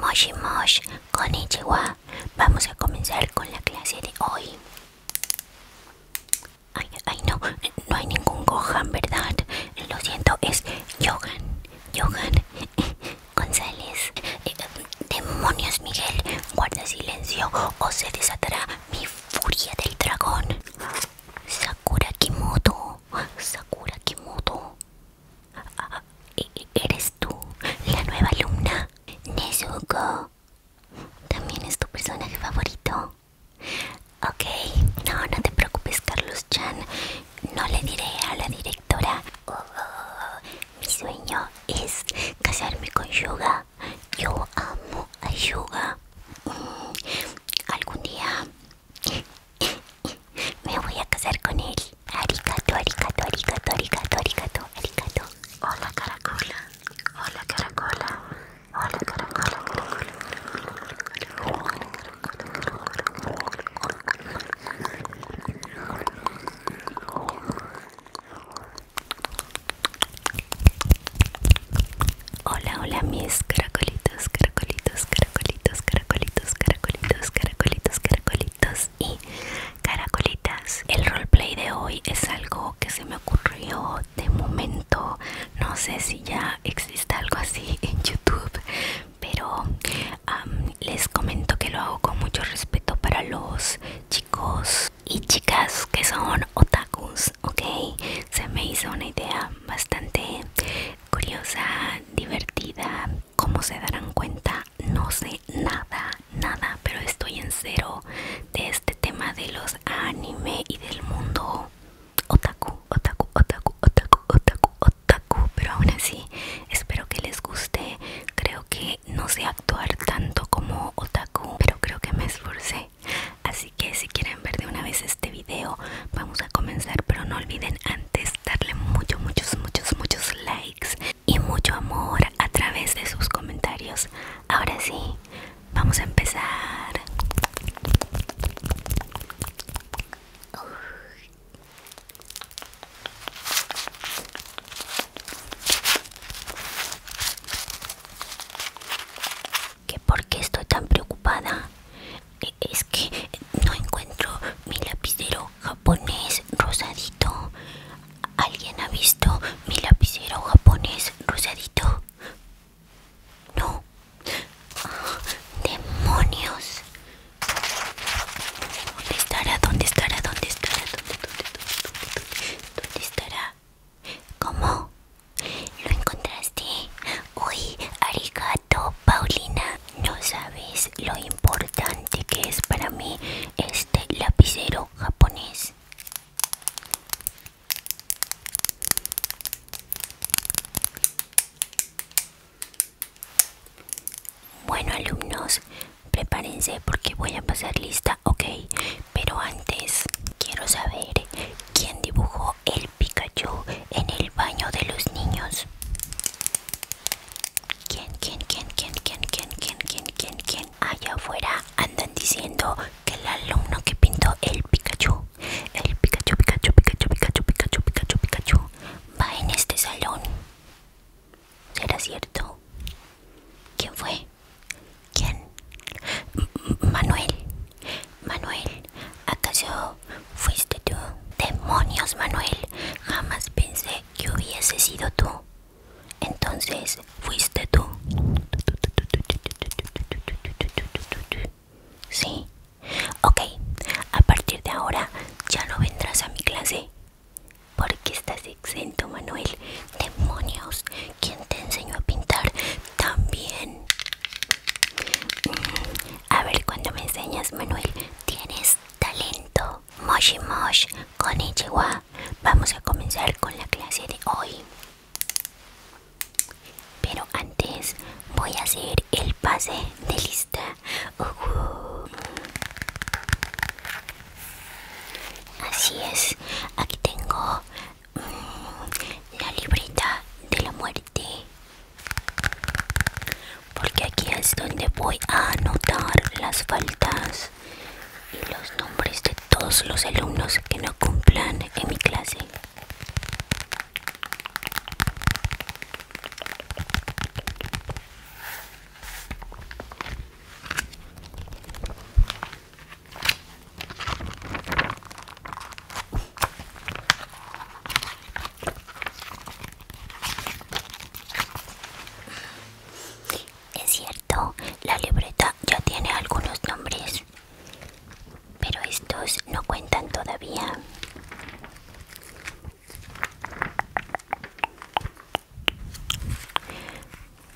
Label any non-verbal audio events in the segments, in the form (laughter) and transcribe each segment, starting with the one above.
Moshi moshi Konichiwa. Vamos a comenzar con la clase de hoy. Ay, ay, no, no hay ningún Gohan, ¿verdad? Lo siento, es Yogan, Yogan (laughs) González. Eh, demonios, Miguel, guarda silencio o se desatará mi furia del dragón. Sakura Kimoto, Sakura Kimoto. ¿Eres tú la nueva alumna? Nezuko. ¿También es tu personaje favorito? Ok, no, no te preocupes Carlos Chan. No le diré a la directora. Oh, oh, oh. mi sueño es casarme con Yuga. Yo amo a Yuga. Mm, algún día me voy a casar con él. Arigato, arigato, arigato, arigato, arigato, arigato. Hola, caracola. Hola, caracola. Hola, caracola, Hola, hola mis caracolitos, caracolitos, caracolitos, caracolitos, caracolitos, caracolitos, caracolitos, caracolitos y caracolitas. El roleplay de hoy es algo que se me ocurrió de momento. No sé si ya existe algo así en YouTube, pero les comento que lo hago con mucho respeto para los chicos y chicas que son otakus, ¿ok? Se me hizo una idea bastante curiosa, divertida como se darán cuenta, no sé nada, nada, pero estoy en cero de este tema de los anime y del mundo otaku, otaku, otaku, otaku, otaku, otaku. Pero aún así, espero que les guste. Creo que no sé actuar tanto como otaku, pero creo que me esforcé. Así que si quieren ver de una vez este video, vamos a comenzar pero no olviden antes darle muchos muchos muchos muchos likes y mucho amor a través de sus comentarios ahora sí vamos a empezar que por qué estoy tan preocupada es que no encuentro mi lapicero japonés rosadito. ¿Alguien ha visto mi lapicero japonés rosadito? No. Ah, ¡Demonios! ¿Dónde estará? ¿Dónde estará? ¿Dónde estará? ¿Dónde, dónde estará? ¿Cómo? ¿Lo encontraste? Uy, arigato, Paulina. No sabes lo importante que es para mí este lapicero japonés. Bueno alumnos, prepárense porque voy a pasar lista, ok. Pero antes, quiero saber quién dibujó el Pikachu en el baño de los niños. ¿Quién, quién, quién, quién, quién, quién, quién, quién, quién, quién? Allá afuera andan diciendo que el alumno que pintó el Pikachu, el Pikachu, Pikachu, Pikachu, Pikachu, Pikachu, Pikachu, va en este salón. ¿Será cierto? ¿Quién fue? ¿Quién? Manuel. Manuel, ¿acaso fuiste tú. Demonios, Manuel, jamás pensé que hubiese sido tú. Entonces, fuiste tú. Sí. Ok, a partir de ahora ya no vendrás a mi clase. Porque estás exento, Manuel. Demonios, quien te enseñó a pintar también? Mm, a ver cuando me enseñas, Manuel. Tienes talento. Moshi moshi con Vamos a comenzar con la clase de hoy. Pero antes voy a hacer el pase de lista. Así es, aquí tengo mm, la libreta de la muerte porque aquí es donde voy a anotar las faltas y los nombres de todos los alumnos que no cumplan en mi clase es cierto, la libreta ya tiene algunos nombres, pero estos no cuentan todavía.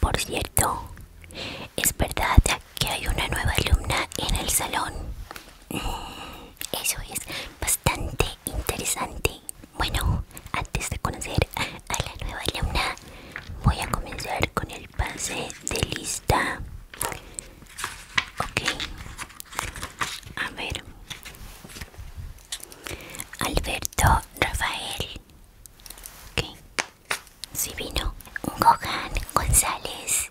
Por cierto, es verdad que hay una nueva alumna en el salón. Mm, eso es, bastante interesante. Bueno, antes de conocer a la nueva luna voy a comenzar con el pase de lista. Ok, a ver. Alberto Rafael. Ok, si sí vino Gohan González.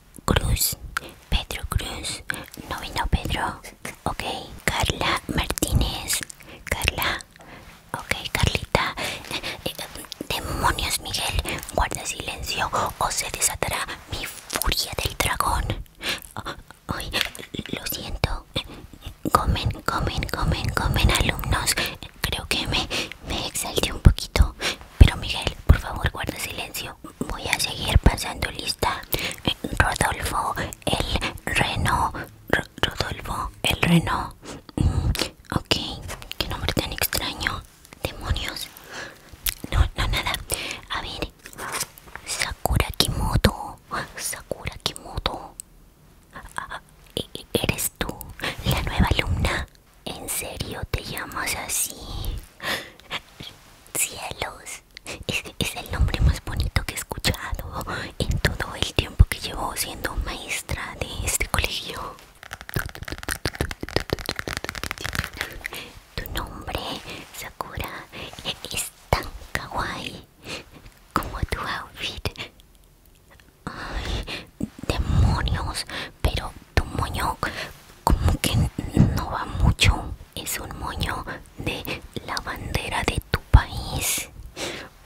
Cruz, Pedro Cruz, no vino Pedro, ok, Carla Martínez, Carla, ok, Carlita, eh, demonios Miguel, guarda silencio o se desatará mi furia del dragón. Ay, lo siento. Comen, comen, comen, comen alumnos. Creo que me, me exalté un poquito. Pero Miguel, por favor, guarda silencio. Voy a seguir pasando lista. Eh, Rodolfo, el reno. Rodolfo, el reno. Mm, ok, qué nombre tan extraño. Demonios. No, no, nada. A ver. Sakura Kimoto. Sakura Kimoto. Ah, e, e, eres tú, la nueva alumna. ¿En serio te llamas así? Cielos es, el nombre más bonito que he escuchado en todo el tiempo que llevo siendo maestra de este colegio. Tu nombre, Sakura, es tan kawaii como tu outfit. Ay, demonios, pero tu moño como que no va mucho es un moño de la bandera de tu país.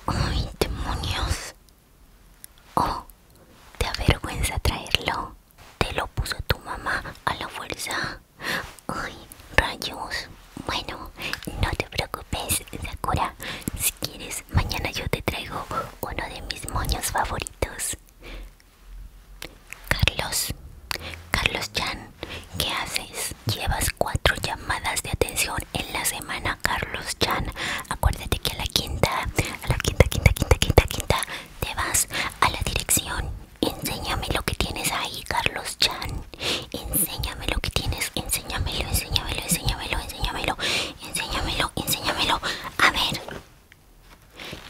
¡Ay, demonios! Oh, te avergüenza traerlo. Te lo puso tu mamá a la fuerza. ¡Ay, rayos! Bueno, no te preocupes, Sakura. Si quieres, mañana yo te traigo uno de mis moños favoritos. Carlos, Carlos Chan ¿qué haces? Llevas cuatro llamadas de atención en la semana, Carlos Chan Acuérdate que a la quinta, a la quinta, quinta, quinta, quinta, quinta, te vas a la dirección. Enséñame lo que tienes ahí, Carlos Chan, Enséñame lo que tienes, enséñamelo, enséñamelo, enséñamelo, enséñamelo, enséñamelo, enséñamelo. A ver,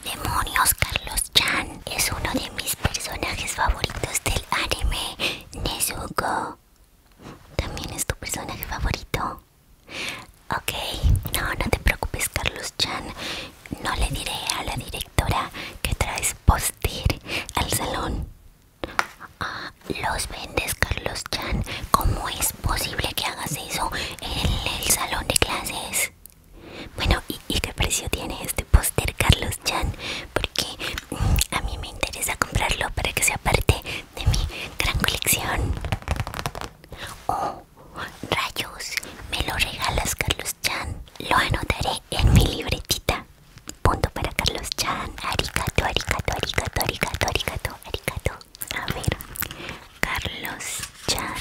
Demonios, Carlos Chan es uno de mis personajes favoritos del anime Nezuko. También es tu personaje favorito. Ok, no, no te preocupes, Carlos Chan. No le diré a la directora que traes poster al salón. Ah, los vendes, Carlos Chan. ¿Cómo es posible que hagas eso en el salón de clases? Bueno, ¿y, qué precio tiene este póster, Carlos Chan? Porque mm, a mí me interesa comprarlo para que sea parte de mi gran colección. Oh, rayos, me lo regalas, Carlos Chan. Lo anotaré en mi libretita. Punto para Carlos Chan. Arigato, arigato, arigato, arigato, arigato, arigato. A ver, Carlos Chan.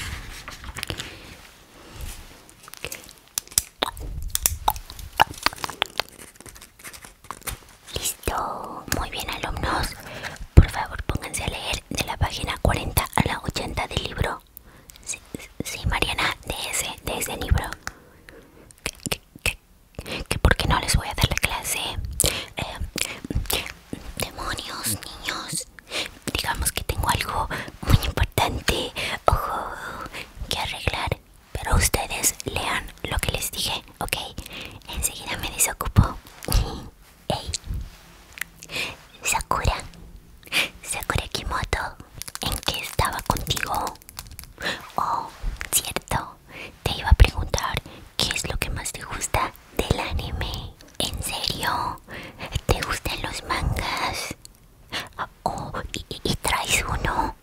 Listo, muy bien alumnos, por favor pónganse a leer de la página 40 a la 80 del libro. Sí, Mariana, de ese, libro. que por qué no les voy a dar la clase? Eh, demonios, niños digamos, que tengo algo muy importante ojo, que arreglar. Pero ustedes lean lo que les dije, ¿ok? Enseguida me desocupo. (laughs) Ey. Sakura. Sakura Kimoto. ¿En qué estaba contigo? Oh, cierto. Te iba a preguntar qué es lo que más te gusta del anime. ¿En serio? ¿Te gustan los mangas? y, traes uno.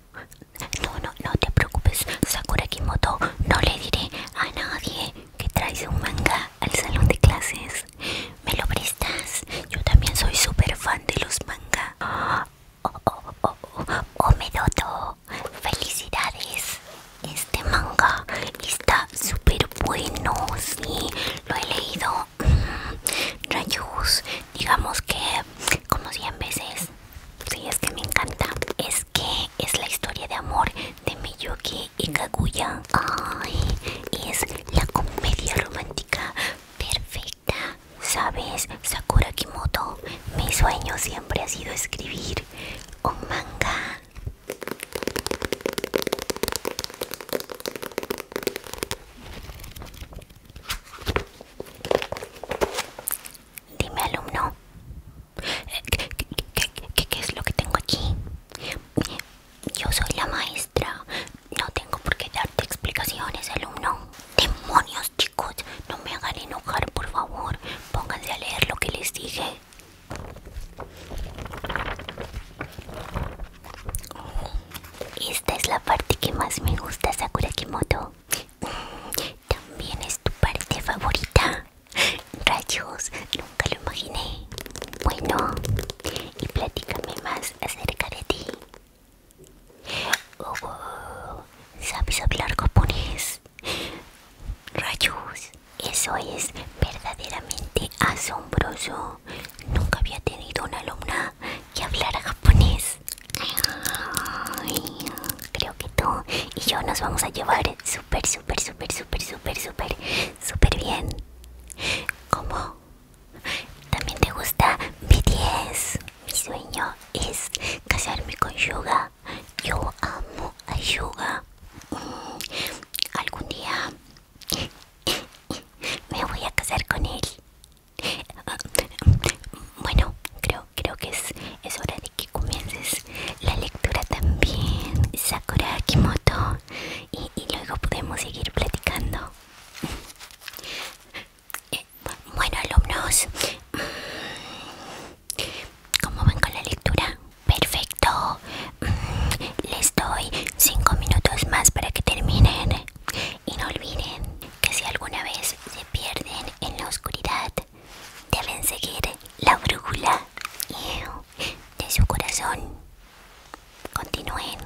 No, no, no te preocupes, Sakura Kimoto. No le diré a nadie que traes un manga al salón de clases. ¿Me lo prestas? Yo también soy súper fan de los mangas. Oh, oh, oh, oh, oh, Felicidades. Este manga está super bueno, sí, lo he leído mm, rayos, digamos que como 100 veces, sí, es que me encanta, es que es la historia de amor de Miyuki y Kaguya, ay, es la comedia romántica perfecta, sabes, Sakura Kimoto, mi sueño siempre ha sido escribir un manga Dime alumno, eh, ¿qué, qué, es lo que tengo aquí? Yo soy la maestra, no tengo por qué darte explicaciones alumno. Demonios chicos, no me hagan enojar por favor, pónganse a leer lo que les dije. Oh, esta es la parte que más me gusta, Sakura Kimoto. Mm, también es tu parte favorita. Rayos, nunca lo imaginé. Bueno, y platícame más acerca de ti. Oh, ¿Sabes hablar japonés? Rayos, eso es verdaderamente asombroso. Nunca había tenido una alumna que hablara japonés. creo que tú y yo nos vamos a llevar súper, súper, súper, súper, súper, súper, súper bien. ¿Cómo? ¿También te gusta BTS? Mi sueño es casarme con Yuga. Yo amo a Yuga. Mm, algún día me voy a casar con él. Ah, bueno, creo, creo que es, hora de que comiences la lectura también, Sakura Kimoto, y, luego podemos seguir platicando. Eh, bueno, alumnos, ¿cómo van con la lectura? Perfecto. Mm, les doy 5 minutos más para que terminen. Y no olviden que si alguna vez se pierden en la oscuridad, deben seguir la brújula de su corazón. Continúen.